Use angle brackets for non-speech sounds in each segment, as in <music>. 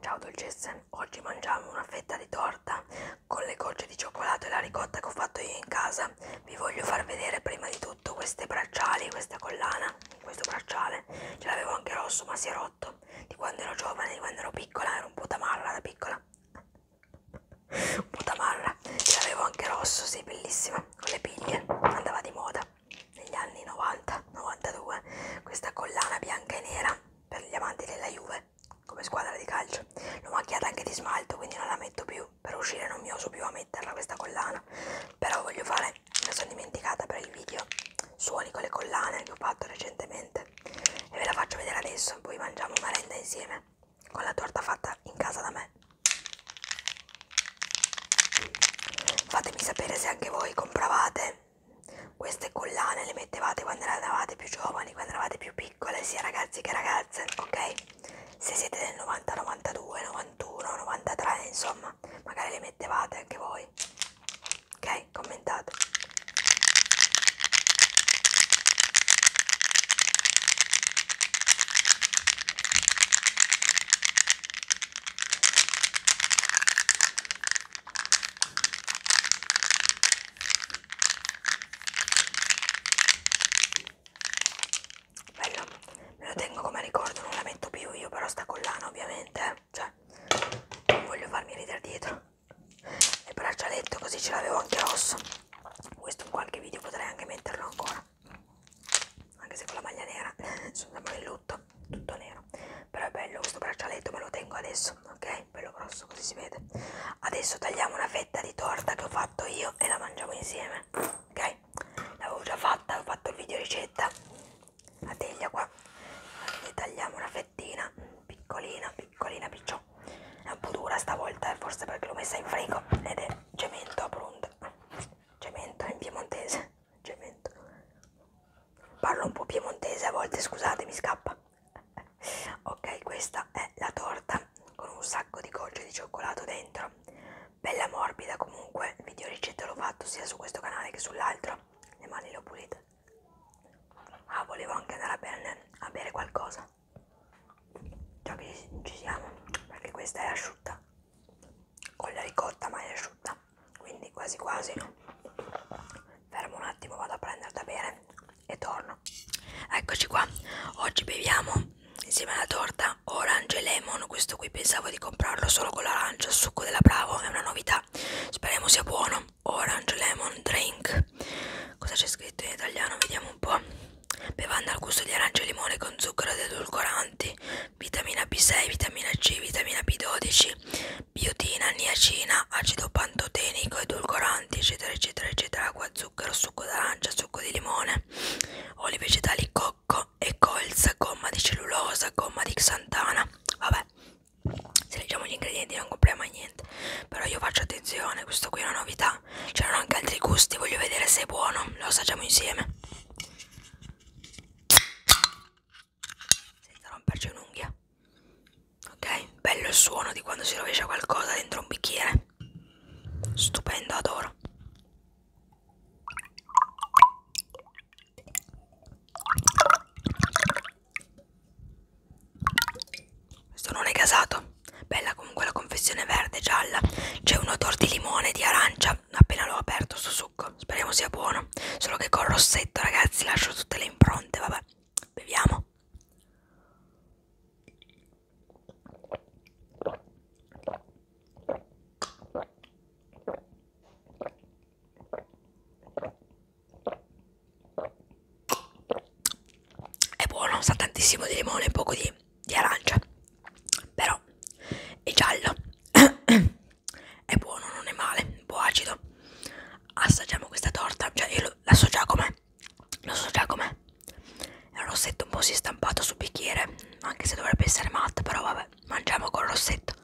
Ciao dolcezze, oggi mangiamo una fetta di torta con le gocce di cioccolato e la ricotta che ho fatto io in casa. Vi voglio far vedere prima di tutto queste bracciali, questa collana, questo bracciale. Ce l'avevo anche rosso ma si è rotto. Di quando ero giovane, di quando ero piccola, ero un po' tamarra da piccola. Putamarra, ce l'avevo anche rosso, sì, bellissima, con le piglie, andava di moda negli anni 90-92, questa collana bianca e nera per gli amanti della Juve, come squadra di calcio, l'ho macchiata anche di smalto, quindi non la metto più, per uscire non mi oso più a metterla questa collana, però voglio fare, me la sono dimenticata per il video, suoni con le collane che ho fatto recentemente, salate e ve la faccio vedere adesso poi mangiamo merenda insieme con la torta fatta in casa da me fatemi sapere se anche voi compravate queste collane le mettevate quando eravate più giovani quando eravate più piccole sia ragazzi che ragazze ok se siete del 90 92 91 93 insomma magari le mettevate anche voi ok commentate Bello, me lo tengo come ricordo, non la metto più io, però sta collana ovviamente, eh. cioè non voglio farmi ridere dietro il braccialetto così ce l'avevo anche rosso questo in qualche video potrei anche metterlo ancora anche se con la maglia nera <laughs> sono sempre in lutto tutto nero però è bello questo braccialetto me lo tengo adesso ok bello grosso così si vede adesso tagliamo una fetta di torta che ho fatto io e la mangiamo insieme ok l'avevo già fatta ho fatto il video ricetta la teglia qua e tagliamo una fettina piccolina piccolina picciocca è un po' dura stavolta e eh, forse perché l'ho messa in frigo ed è cemento pronto cemento in piemontese cemento parlo un po' piemontese a volte scusate mi scappa ok questa è la torta con un sacco di gocce di cioccolato dentro bella morbida comunque il video ricetta l'ho fatto sia su questo canale che sull'altro le mani le ho pulite Ah, volevo anche andare a bere, a bere qualcosa. Già che ci, ci siamo, perché questa è asciutta. Con la ricotta, ma è asciutta. Quindi quasi quasi no. Fermo un attimo, vado a prendere da bere e torno. Eccoci qua. Oggi beviamo insieme alla torta orange e lemon. Questo qui pensavo di comprarlo solo con l'arancia, il succo della Bravo, è una novità. Speriamo sia buono orange lemon drink cosa c'è scritto in italiano vediamo un po' bevanda al gusto di arancia e limone con zucchero ed edulcoranti vitamina B6 vitamina C vitamina B12 biotina niacina acido pantotenico edulcoranti eccetera eccetera eccetera acqua zucchero succo d'arancia succo di limone oli vegetali cocco e colza gomma di cellulosa gomma di xantana vabbè se leggiamo gli ingredienti non compriamo mai niente però io faccio attenzione questo qui è una novità c'erano anche altri gusti voglio vedere se è buono lo assaggiamo insieme senza romperci un'unghia ok bello il suono di quando si rovescia qualcosa dentro un bicchiere stupendo adoro questo non è gasato. Bella comunque la confezione verde gialla. C'è un odore di limone e di arancia. Appena l'ho aperto sto succo. Speriamo sia buono. Solo che col rossetto, ragazzi, lascio tutte le impronte. Vabbè, beviamo è buono, sa tantissimo di limone e poco di, di arancia, però è giallo, <coughs> è buono, non è male, un po' acido. Assaggiamo questa torta, cioè io lo, la so già com'è, lo so già com'è. È un rossetto un po' si è stampato sul bicchiere, anche se dovrebbe essere matta, però vabbè, mangiamo col rossetto.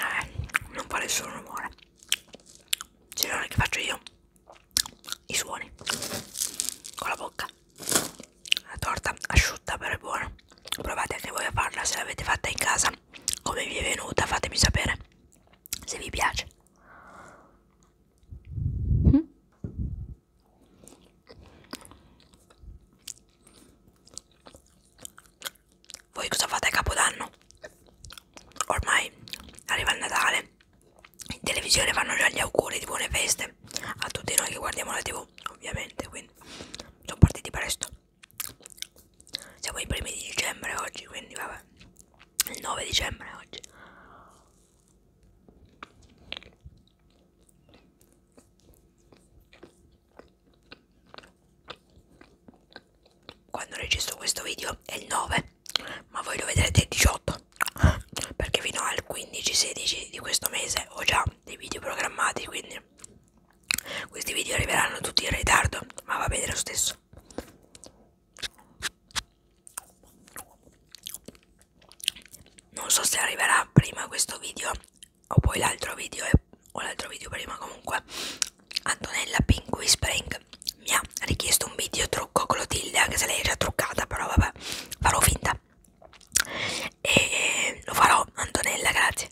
Eh, non fa nessun rumore. Se non è che faccio io i suoni con la bocca. La torta asciutta però è buona. Provate anche voi a farla se l'avete fatta in casa come vi è venuta fatemi sapere se vi piace mm? voi cosa fate a capodanno ormai arriva il natale in televisione fanno già gli auguri di buone feste a tutti noi che guardiamo la tv ovviamente quindi sono partiti presto siamo i primi di dicembre oggi, quindi vabbè. Il 9 dicembre oggi. Quando registro questo video è il 9, ma voi lo vedrete il 18 perché fino al 15-16 di questo mese ho già dei video programmati quindi questi video arriveranno tutti in ritardo, ma va bene lo stesso. Non so se arriverà prima questo video o poi l'altro video o l'altro video prima comunque. Antonella Pink Whispering mi ha richiesto un video trucco con l'otilde, anche se lei era truccata, però vabbè, farò finta. E lo farò, Antonella, grazie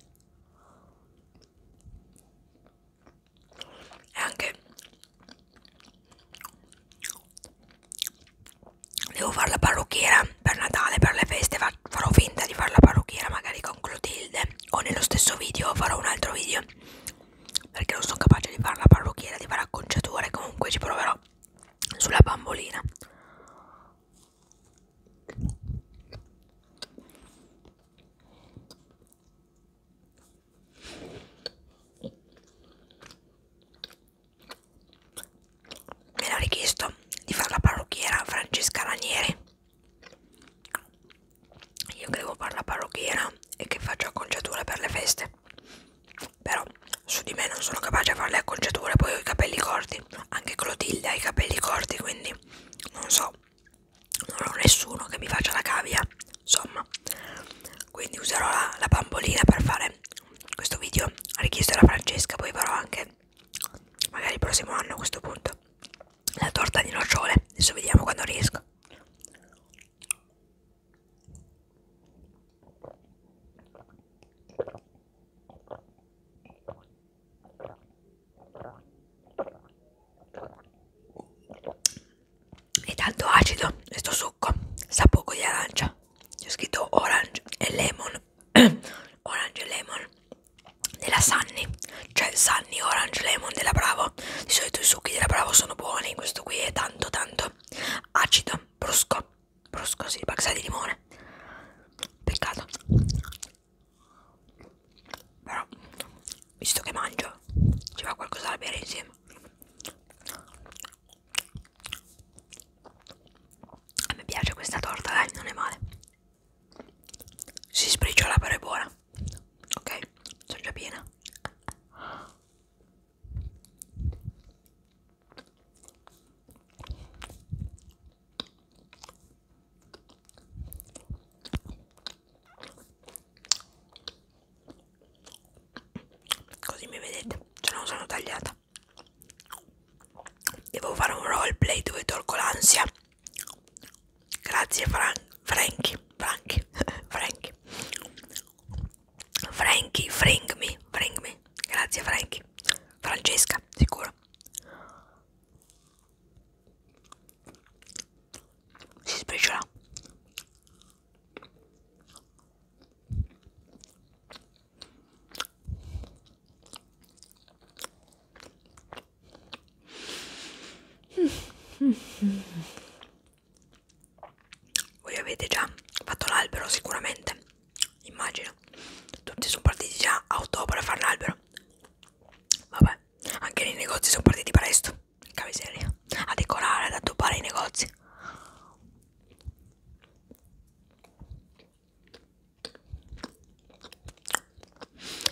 e anche devo fare la parrucchiera per Natale per le feste farò finta di fare la parrucchiera magari con Clotilde o nello stesso video farò un altro video perché non sono capace di fare la parrucchiera di fare acconciature comunque ci proverò sulla bambolina Me l'ho richiesto di fare la parrucchiera Francesca Ranieri. Io che devo fare la parrucchiera e che faccio acconciature per le feste. Però su di me non sono capace a fare le acconciature, poi ho i capelli corti. Anche Clotilde ha i capelli corti, quindi non so non ho nessuno che mi faccia la cavia insomma quindi userò la, la bambolina per fare questo video a richiesta della Francesca poi farò anche magari il prossimo anno a questo punto la torta di nocciole adesso vediamo quando riesco ed alto acido questo succo sa poco di arancia c'è scritto orange e lemon <clears throat> orange e lemon della Sunny cioè Sunny orange lemon della Bravo di solito i succhi della Bravo sono buoni questo qui è tanto tanto acido brusco brusco si sì, di limone peccato però visto che mangio ci va qualcosa da bere insieme a me piace questa torta dai non è male si sbriciola però è buona ok sono già piena Così mi vedete, ce non sono tagliata. Devo fare un roleplay dove tolgo l'ansia. Grazie Fran Frankie, Frankie, <laughs> Frankie. Frankie, fring me, fring me. Grazie Frankie. Francesca, sicuro si sbriciola voi avete già fatto l'albero sicuramente immagino tutti sono partiti già a ottobre a fare l'albero vabbè anche nei negozi sono partiti presto miseria a decorare ad addobbare i negozi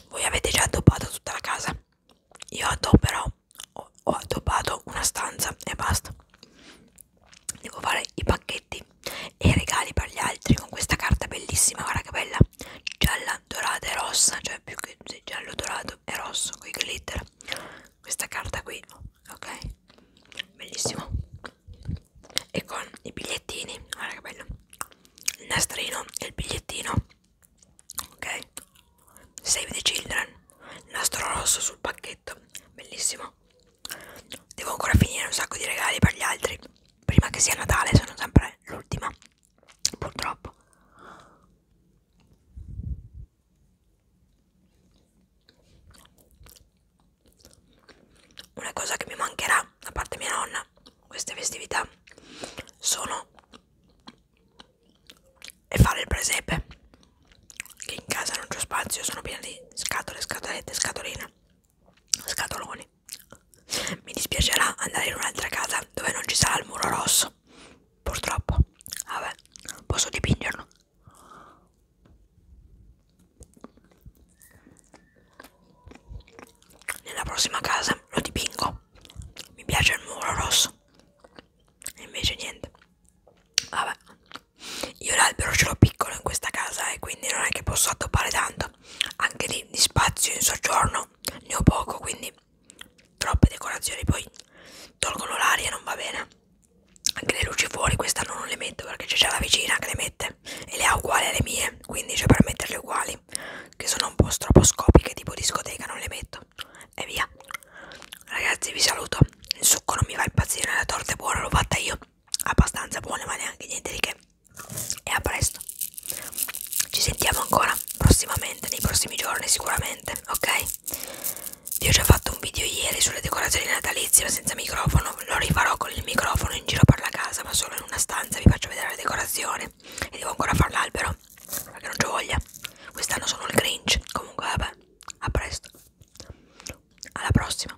voi avete già addobbato tutta la casa io addobberò ho addobbato una stanza e basta devo fare i pacchetti sacchetti e regali per gli altri con questa carta bellissima guarda che bella gialla dorata e rossa cioè più che giallo dorato e rosso con i glitter questa carta qui ok bellissimo e con i bigliettini guarda che bello il nastrino e il bigliettino ok save the children nastro rosso sul pacchetto bellissimo devo ancora finire un sacco di regali per gli altri prima che sia Natale sono sempre l'ultima purtroppo una cosa che mi mancherà da parte mia nonna queste festività sono e fare il presepe che in casa non c'ho spazio sono piena di scatole scatolette scatoline scatoloni mi dispiacerà andare in un'altra casa dove non ci sarà il muro rosso purtroppo vabbè posso dipingerlo nella prossima casa lo dipingo mi piace il muro rosso e invece niente vabbè io l'albero ce l'ho piccolo in questa casa e quindi non è che posso addobbare tanto appunto anche lì di spazio in soggiorno ne ho poco quindi troppe decorazioni poi tolgono l'aria non va bene anche le luci fuori quest'anno non le metto perché c'è già la vicina che le mette e le ha uguali alle mie quindi cioè per metterle uguali che sono un po' stroposcopiche tipo discoteca non le metto e via ragazzi vi saluto il succo non mi va impazzire la torta è buona l'ho fatta io abbastanza buona ma neanche niente di che e a presto ci sentiamo ancora prossimamente nei prossimi giorni sicuramente ok io ho già fatto un video ieri sulle decorazioni natalizie ma senza microfono lo rifarò con il microfono in giro per la casa ma solo in una stanza vi faccio vedere le decorazioni e devo ancora fare l'albero perché non c'ho voglia quest'anno sono il grinch comunque vabbè a presto alla prossima